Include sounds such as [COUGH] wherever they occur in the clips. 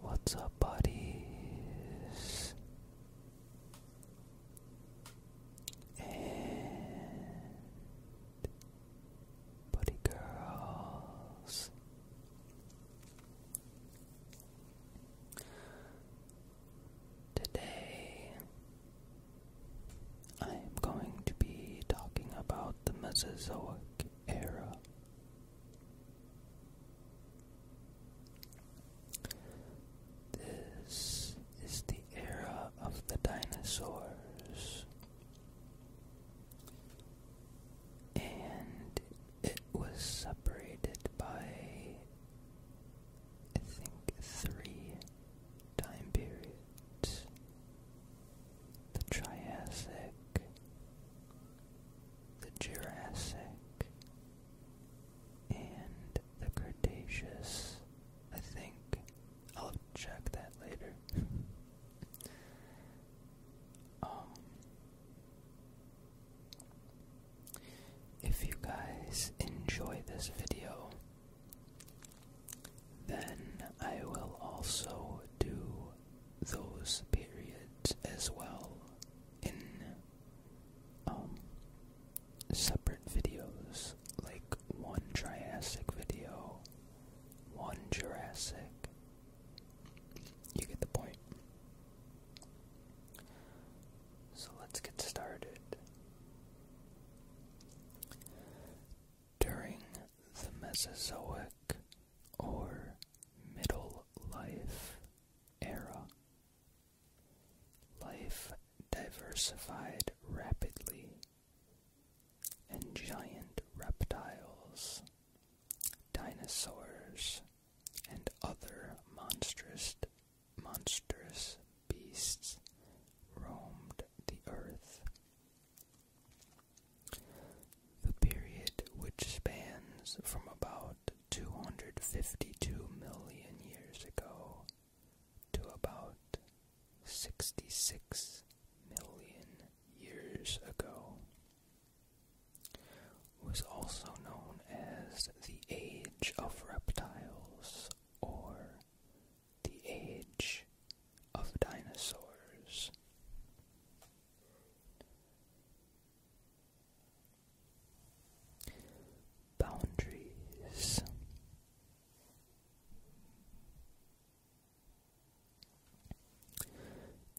What's up, buddies? And buddy girls. Today I am going to be talking about the Mesozoic era this is the era of the dinosaurs, and it was separated by, I think, three time periods the Triassic, the Jurassic, and the Cretaceous. I think I'll check that later. [LAUGHS] Um, if you guys enjoy this video, then I will also do those periods as well in um, separate videos, like one Triassic video, one Jurassic. You get the point. So let's get started. During the Mesozoic, or middle life era. Life diversified rapidly, and giant reptiles, dinosaurs, and other monstrous, monstrous beasts roamed the earth the period which spans from about 252 million years ago to about 66 million years ago was also known as the Age of Reptiles or the Age of Dinosaurs. Boundaries.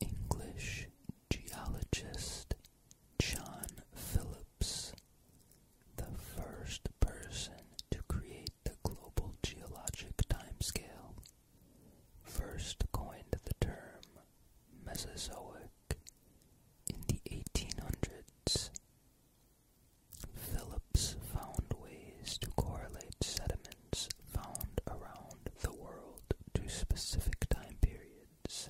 English geologist John Phillips, the first person to create the global geologic timescale, first coined the term Mesozoic in the 1800s. Phillips found ways to correlate sediments found around the world to specific time periods.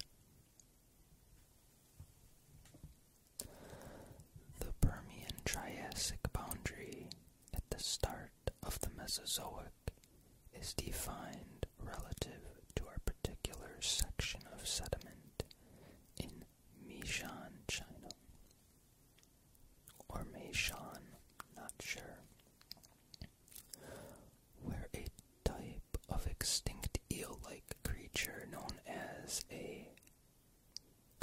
The Permian Triassic boundary at the start of the Mesozoic is defined relative to our particular section of sediment in Meishan, China. Or Meishan, not sure. Where a type of extinct eel like creature known as a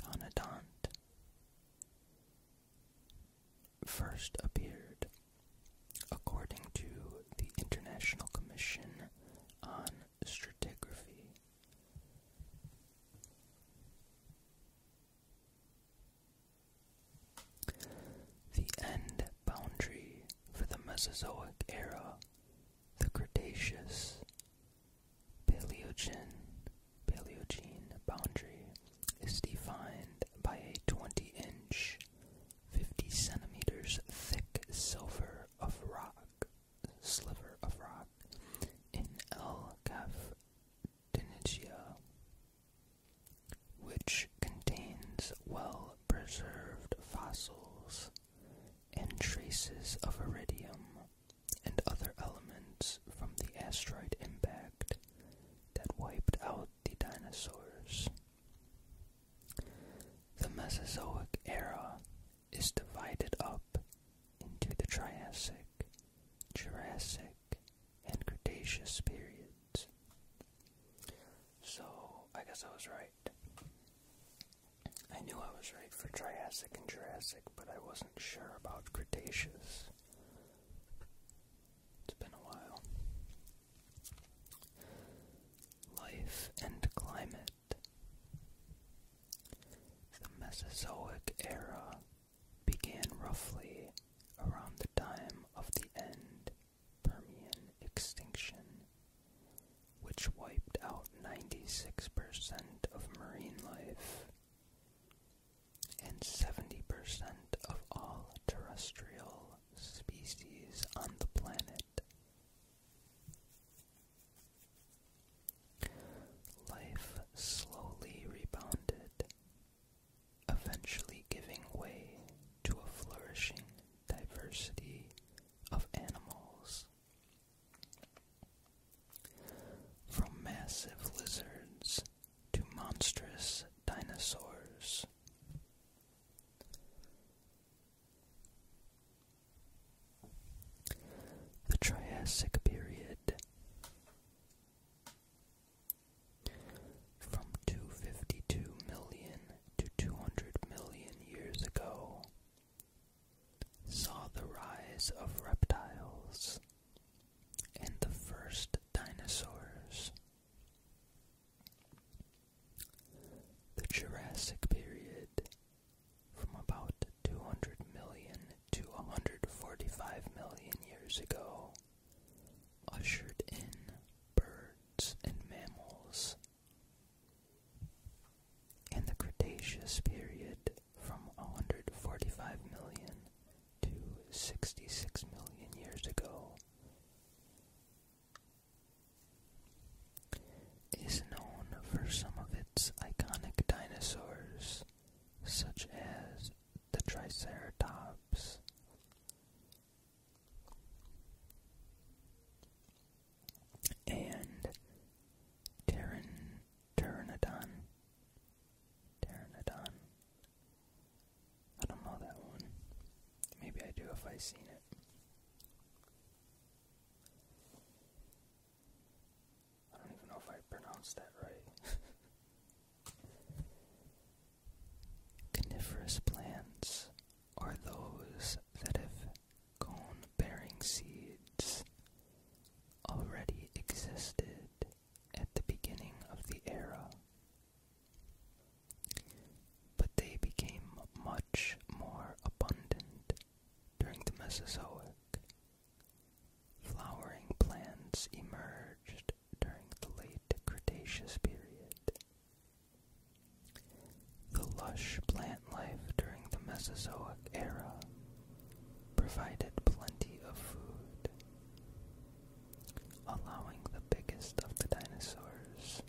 conodont first appeared, according to the International Commission on Stratigraphy. The end boundary for the Mesozoic era, the Cretaceous Paleogene, boundary, is defined by a 20 inch, 50 centimeters thick silver of rock, sliver of rock, in El Caf Dinitia, which contains well preserved fossils and traces of iridium and other elements from the asteroid impact that wiped out the dinosaurs. The Mesozoic era is divided up into the Triassic, Jurassic, and Cretaceous periods. So, I guess I was right. I knew I was right for Triassic and Jurassic, but I wasn't sure about Cretaceous. It's been a while. Life and climate. The Mesozoic era began roughly around the time of the end Permian extinction, which wiped out 96% of marine life, and 70% of all terrestrial species on the planet. Life slowly rebounded, eventually giving way to a flourishing diversity of animals. From massive lizards to monstrous dinosaurs. The Triassic period from 252 million to 200 million years ago saw the rise of reptiles and the first dinosaurs. The Jurassic period from about 200 million to 145 million years ago ushered in birds and mammals. In the Cretaceous period from 145 million to 66 million years ago is known for some of its iconic dinosaurs, such as the Triceratops. And Pteran, I don't know that one. Maybe I do if I have seen it. I don't even know if I pronounced that right. [LAUGHS] Coniferous plants are those that have cone bearing seeds already existed at the beginning of the era but they became much more abundant during the Mesozoic. Flowering plants emerged during the late Cretaceous period. The lush plant life during the Mesozoic era provided plenty of food allowing the biggest of the dinosaurs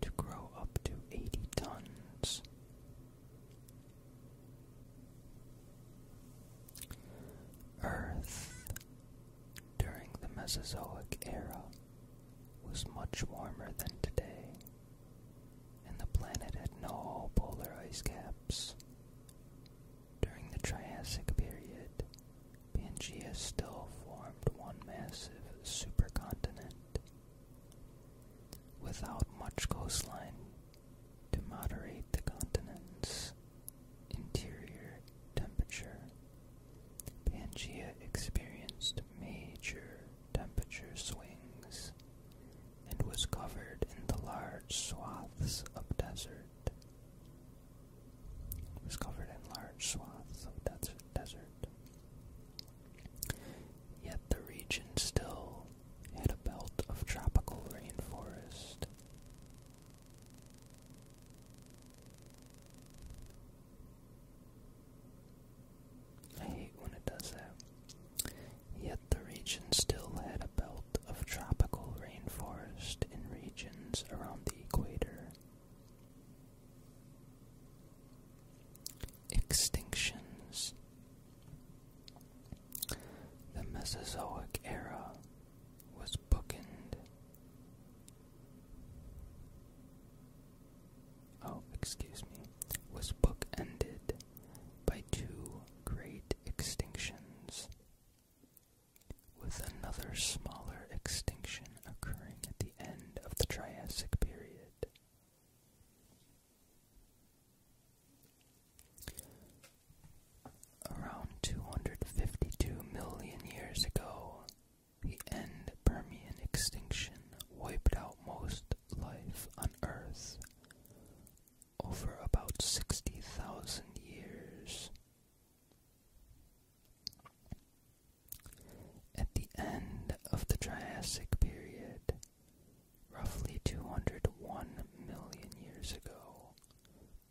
to grow up to 80 tons. Earth during the Mesozoic era was much warmer than today, and the planet had no polar ice caps, during the Triassic period, Pangea still formed one massive supercontinent without much coastline to moderate the continent's interior temperature. Pangea experienced major temperature swings and was covered in the large swaths of desert. It was covered in large swaths of desert. desert. Yet the region still had a belt of tropical rainforest. I hate when it does that. Yet the region still had a belt of tropical rainforest in regions around the equator. Extinctions The Mesozoic era was bookend. Oh, excuse me, was bookended by two great extinctions with another smaller extinction occurring at the end of the Triassic period. Around 252 million years ago, the end Permian extinction wiped out most life on Earth over about 60,000 years. At the end of the Triassic period, roughly 201 million years ago,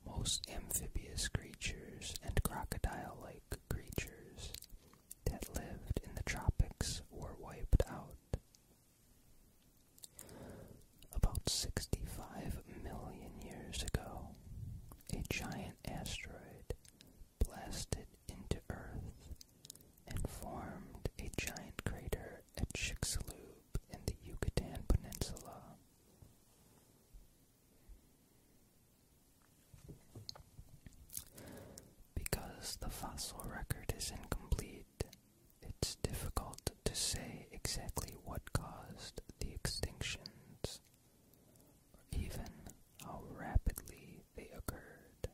most amphibious creatures and crocodile like creatures that lived in the tropics were wiped out. About 65 million years ago, a giant asteroid blasted into Earth and formed a giant crater at Chicxulub in the Yucatan Peninsula. Because the fossil record is incomplete, it's difficult to say exactly what caused the extinctions, or even how rapidly they occurred.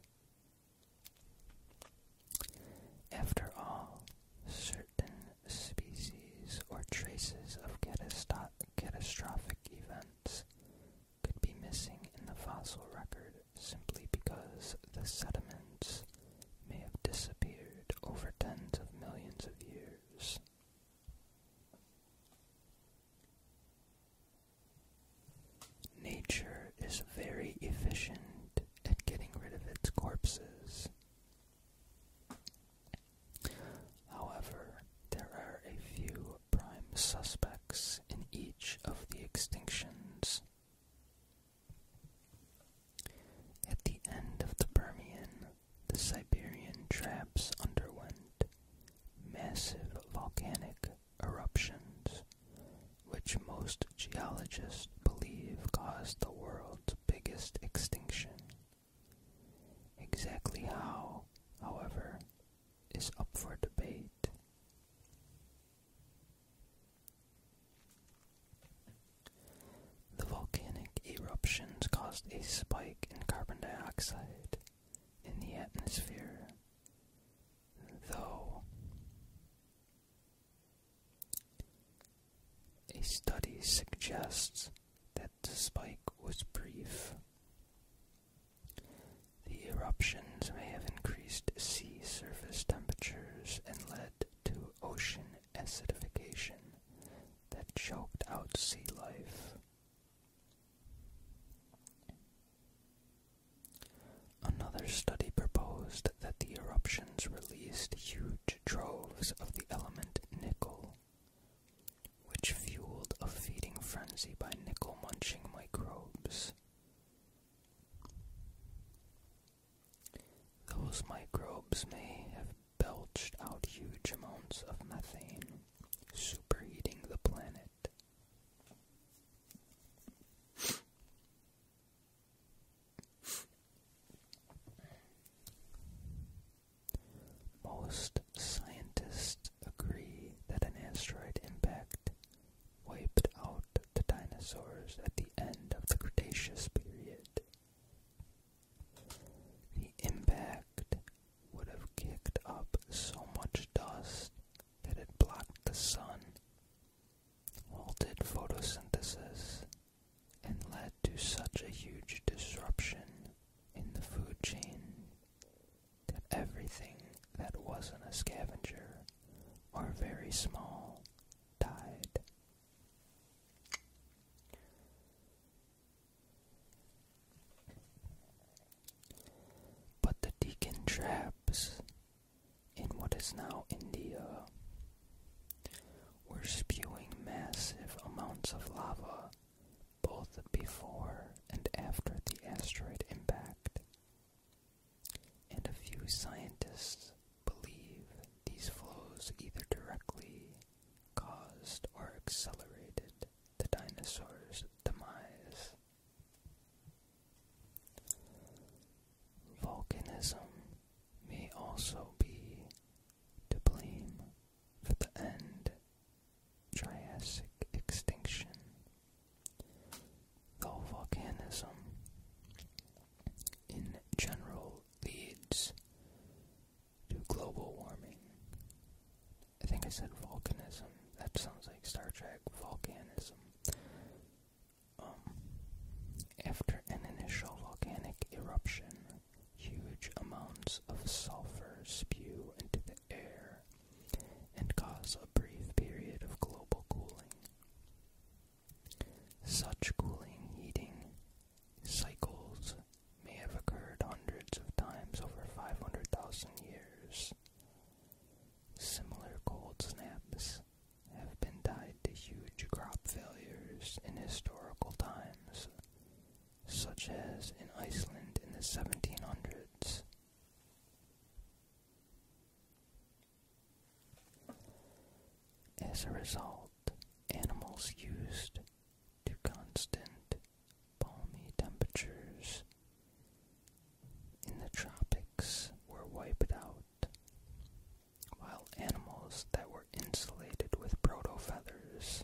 After all, certain species or traces of catastrophic events could be missing in the fossil record simply because the sediments may have disappeared over tens of millions of years. Nature is very efficient at getting rid of its corpses. However, there are a few prime suspects in each of the extinctions. At the end of the Permian, the Siberian traps underwent massive volcanic eruptions, which most geologists believe caused the world's biggest extinction. Exactly how, however, is up for debate. The volcanic eruptions caused a spike in carbon dioxide in the atmosphere, though a study suggests that the spike was brief. The eruptions may have increased sea surface temperatures and led to ocean acidification that choked out sea life. Another study proposed that the eruptions released huge troves of the element nickel, which fueled a feeding frenzy by nickel munching microbes. Those microbes may have belched out huge amounts of methane, superheating the planet. Most scientists agree that an asteroid impact wiped out the dinosaurs at the end of the Cretaceous period. The impact would have kicked up so much dust that it blocked the sun, halted photosynthesis, and led to such a huge disruption in the food chain that everything that wasn't a scavenger or very small died. But the deacon traps in what is now India were spewing massive amounts of lava both before and after the asteroid impact. And a few scientists believe these flows either directly caused or accelerated the dinosaur's demise. Volcanism may also be to blame for the end Triassic extinction, though volcanism in general leads to global warming. I think I said volcanism. That sounds like Star Trek volcanism. Um, after an initial volcanic eruption, huge amounts of sulfur spew into the air and cause a brief period of global cooling. Such cooling, heating, cycles may have occurred hundreds of times over 500,000 years. Similar cold snaps have been tied to huge crop failures in historical times, such as in Iceland in the 1700s. As a result, animals used to constant balmy temperatures in the tropics were wiped out, while animals that were insulated with protofeathers,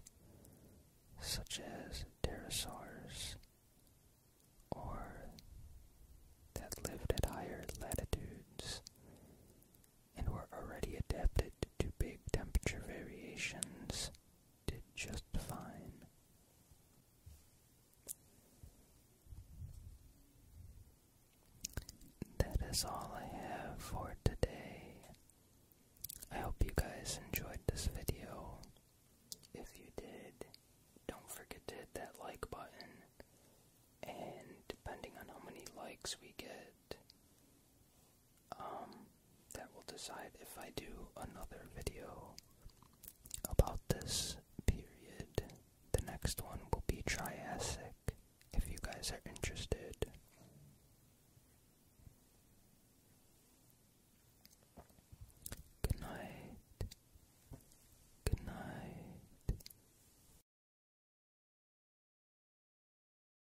such as pterosaurs, or that lived at higher latitudes and were already adapted to big temperature variations, did just fine. That is all I have for today. I hope you guys enjoyed this video. If you did, don't forget to hit that like button. And depending on how many likes we get, um, that will decide if I do another video about this period. The next one will be Triassic, if you guys are interested. Good night. Good night.